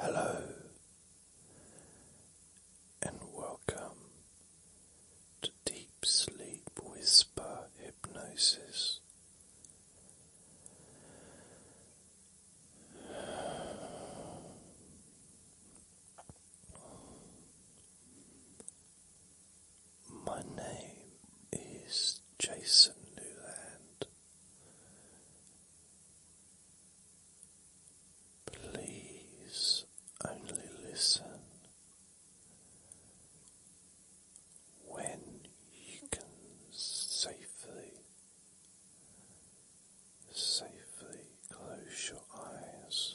Hello and welcome to Deep Sleep Whisper Hypnosis. My name is Jason Newland, Please only listen when you can safely, safely close your eyes.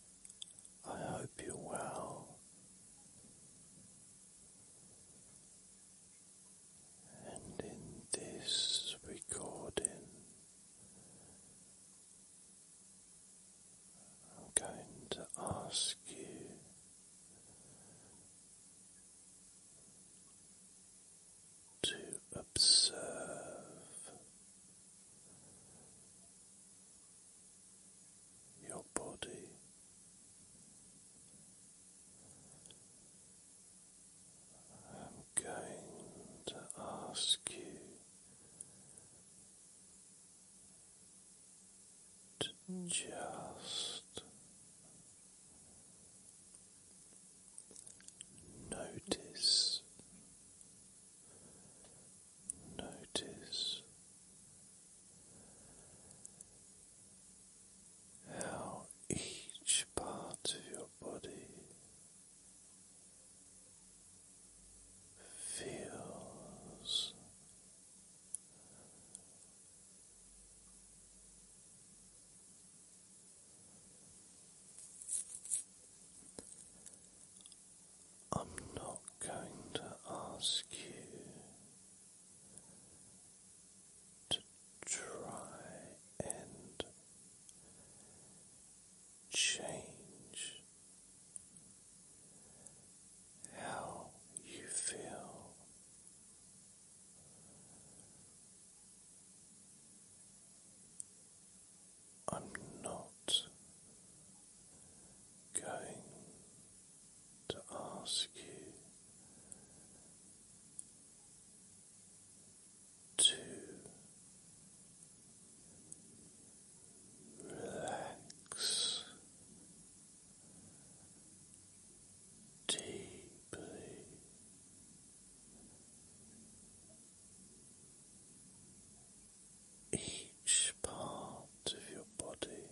I hope you're well. And in this recording, I'm going to ask you to observe your body. I'm going to ask you to just notice Notice how each part of your body feels. I'm not going to ask you to try and change how you feel. I'm not going to ask you to relax deeply each part of your body.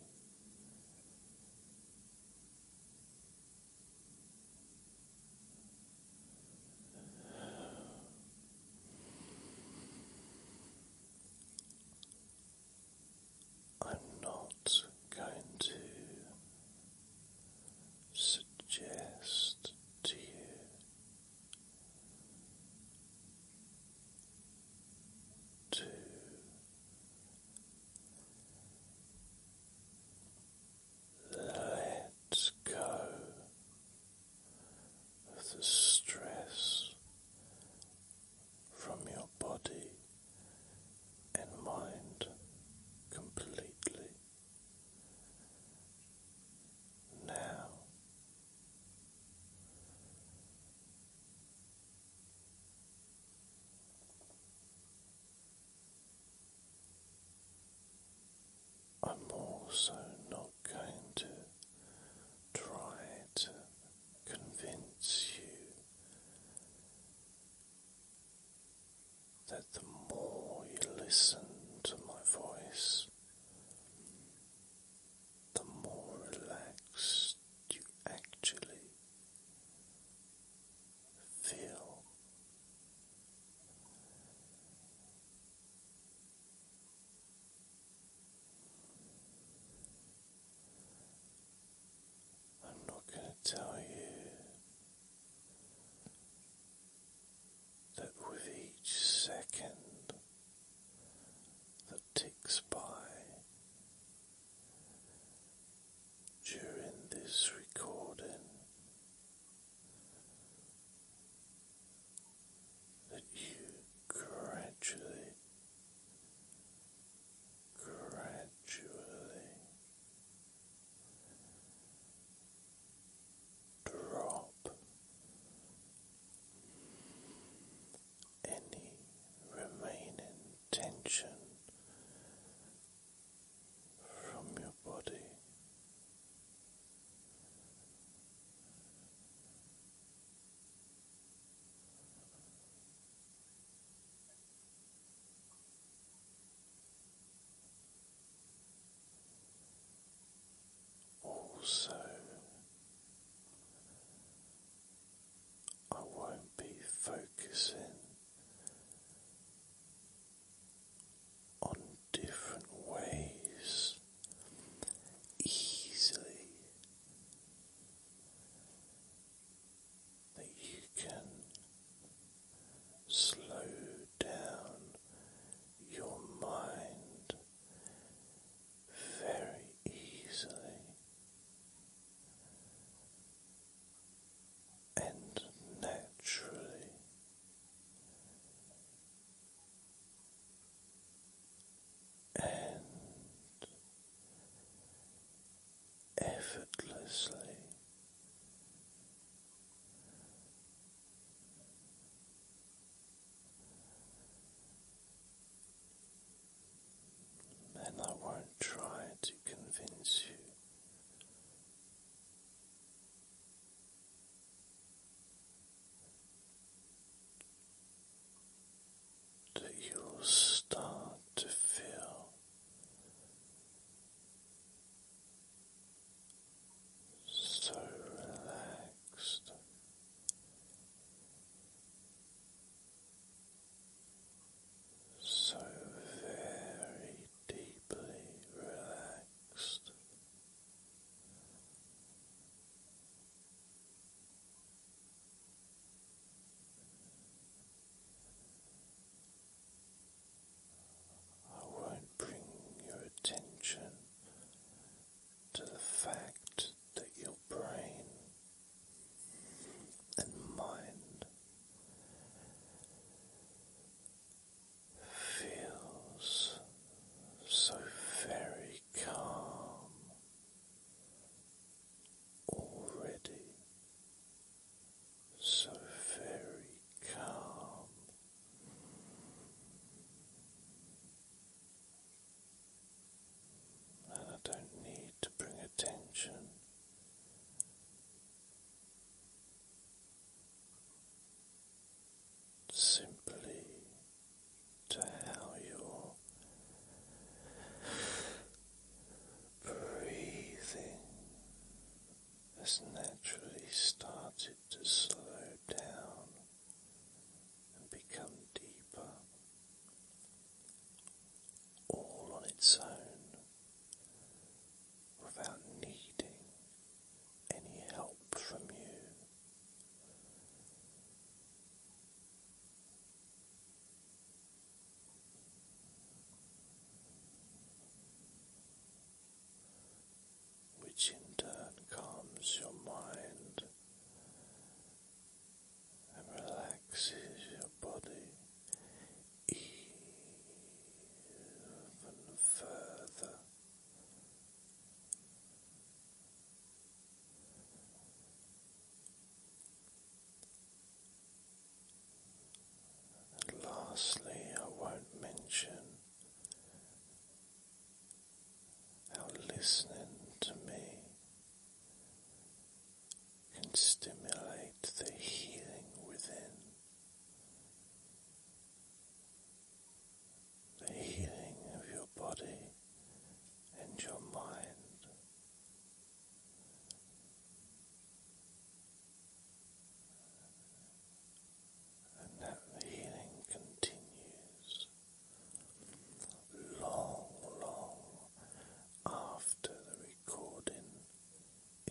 I'm not going to suggest to you Two, go the stress from your body and mind completely. Now I'm also not going to try to convince you that the more you listen to my voice, the more relaxed you actually feel. I'm not going to tell you that with each second that ticks by during this recording that you gradually, gradually drop any remaining tension from your body. Also, I won't be focusing on different ways easily that you can slow down your mind very easily and naturally. And effortlessly and I won't try to convince you. That you'll start to feel so relaxed so very deeply relaxed. I won't bring your attention to the fact that your brain and mind feels so very calm already, so very calm. And I don't need to bring attention simply to how you breathing has naturally started to slow down and become deeper all on its own without needing any help from you which in turn calms your mind and relaxes your body even further. lastly, I won't mention how listening to me can stimulate the healing within, the healing of your body and your mind and that healing continues long, long after the recording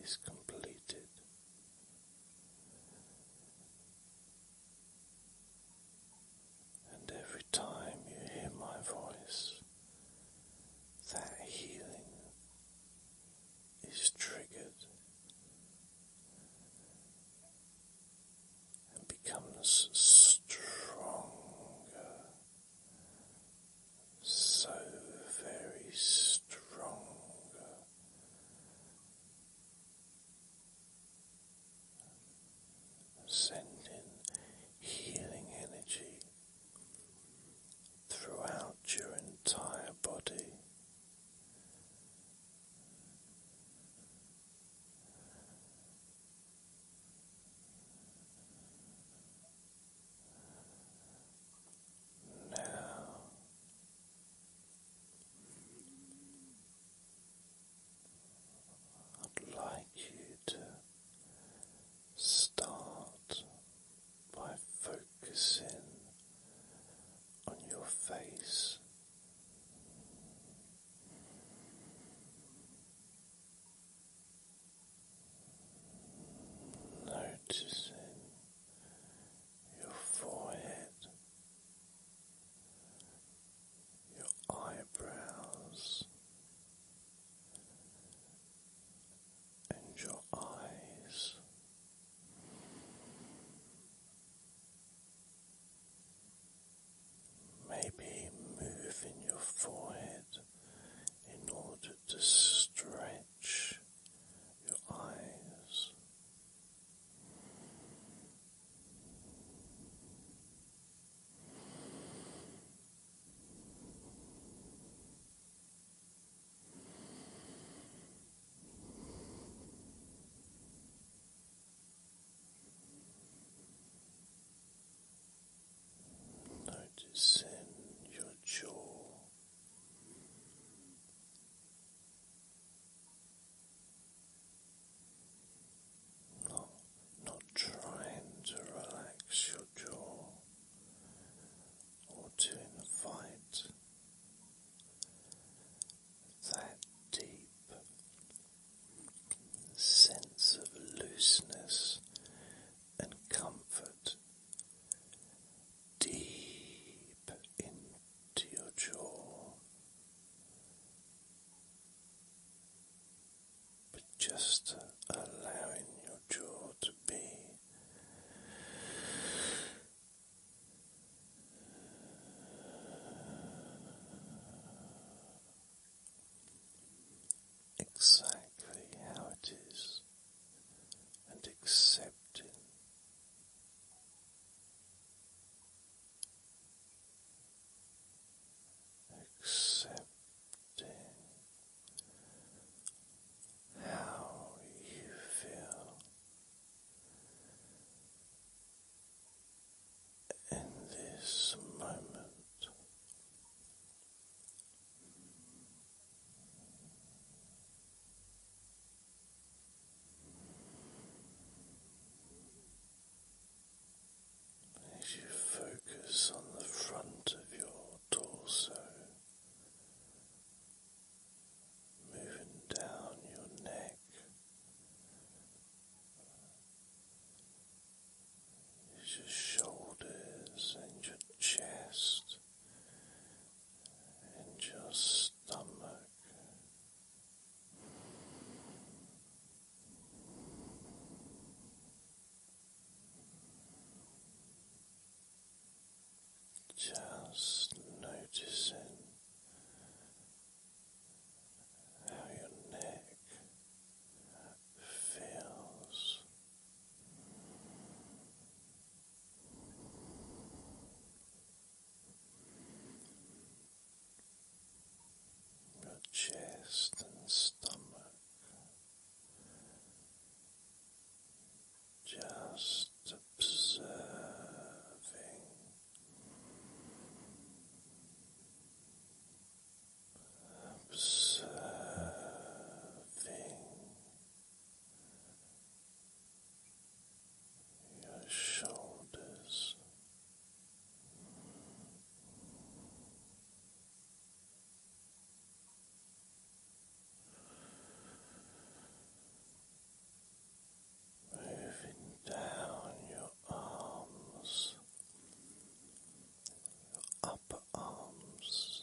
is completed. And every time you hear my voice, that healing is triggered and becomes stronger, so very strong. Sending healing energy throughout your entire body. Now I'd like you to start by focusing on your face. Noticing your forehead, your eyebrows, and your eyes. Maybe move in your forehead in order to stretch your eyes. Noticing your jaw. Not, not trying to relax your jaw or to invite that deep sense of looseness and comfort deep into your jaw. But just allowing your jaw to be exactly how it is and accepting. Accepting how you feel in this moment. As you focus on the front of your torso, moving down your neck your shoulders and your chest and your stomach. Just noticing how your neck feels. Your chest and stomach just observing observing your shoulders moving down your arms, your upper arms,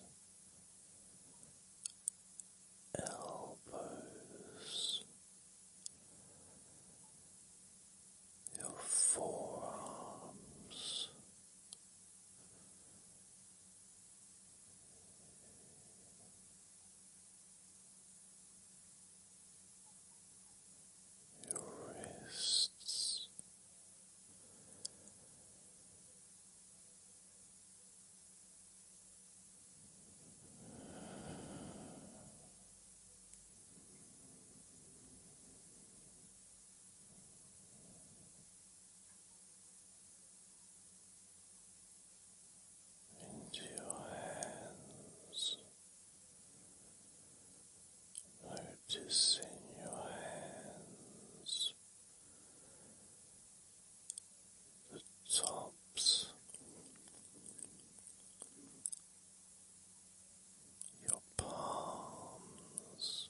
elbows, your forearms your wrists into your hands, Notice in your hands, the tops, your palms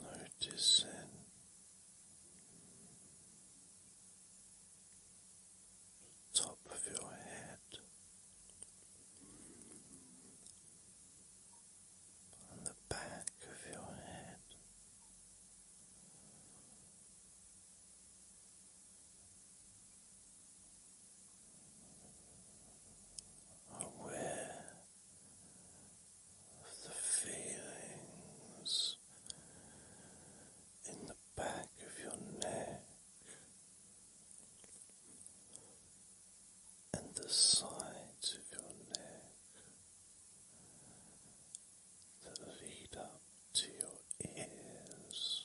Noticing the top of your head the back of your head aware of the feelings in the back of your neck and the sides of your neck that lead up to your ears.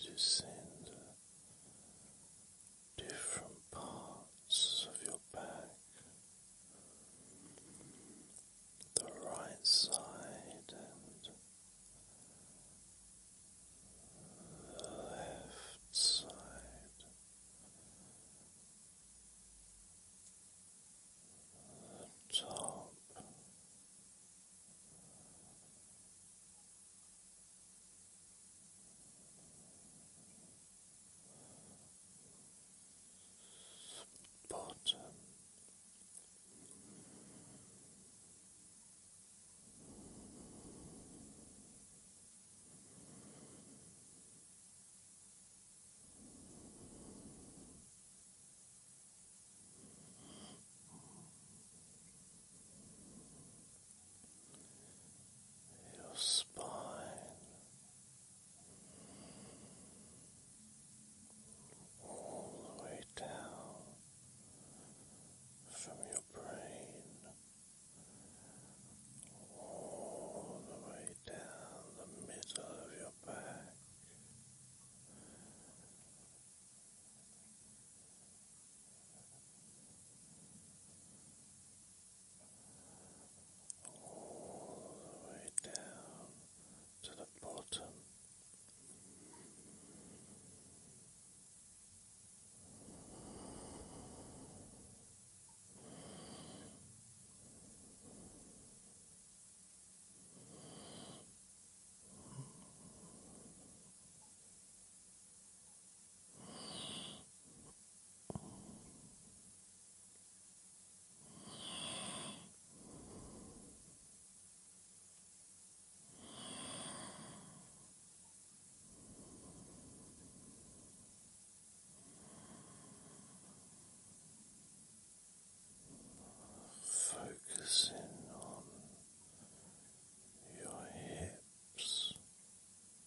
Noticing the different parts of your back, the right side and the left side. The top bottom. Um, your spine all the way down from your brain, all the way down the middle of your back all the way down to the bottom. Focusing on your hips.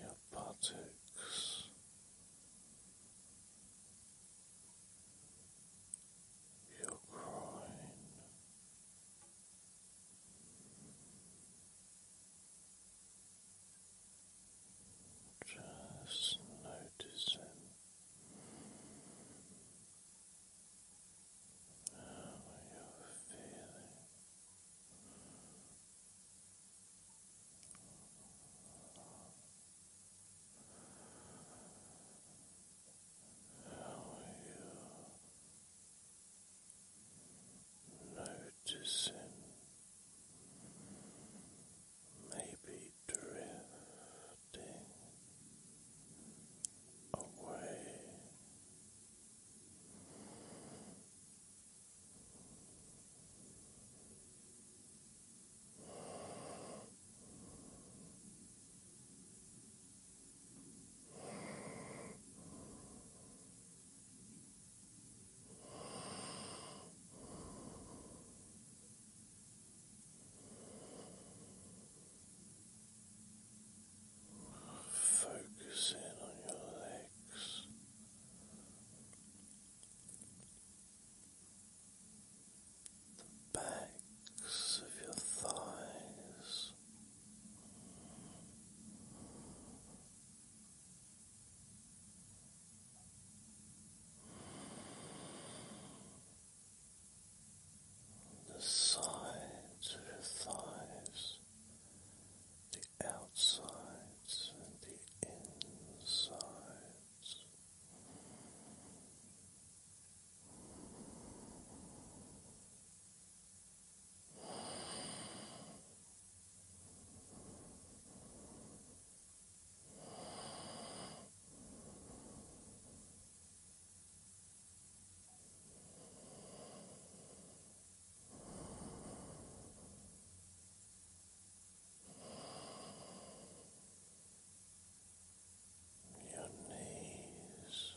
Your buttocks, your groin. Just noticing how you're feeling. How are you noticing maybe drifting away. Focus in on your legs. The backs of your thighs, the sides of your thighs, the outsides and the insides. Your knees,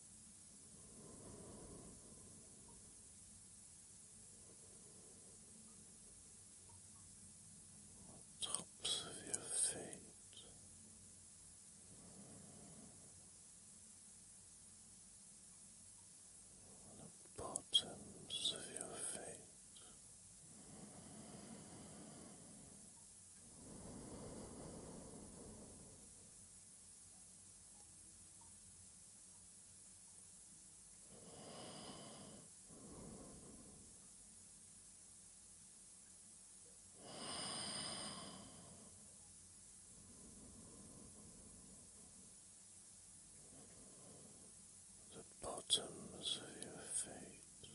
tops of your feet. The bottoms of your feet. The bottoms of your feet.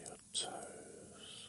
your toes.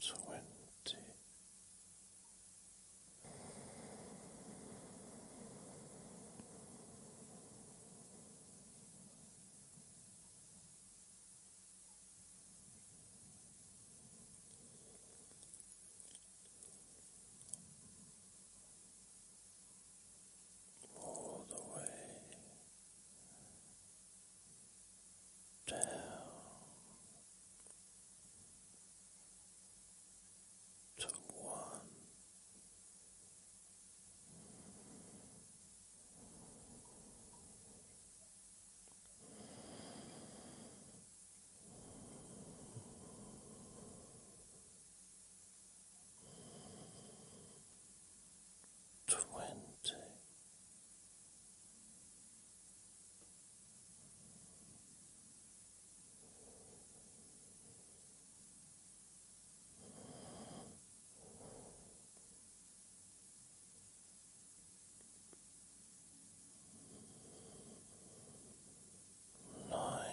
twenty. All the way down. To one, twenty. Ninety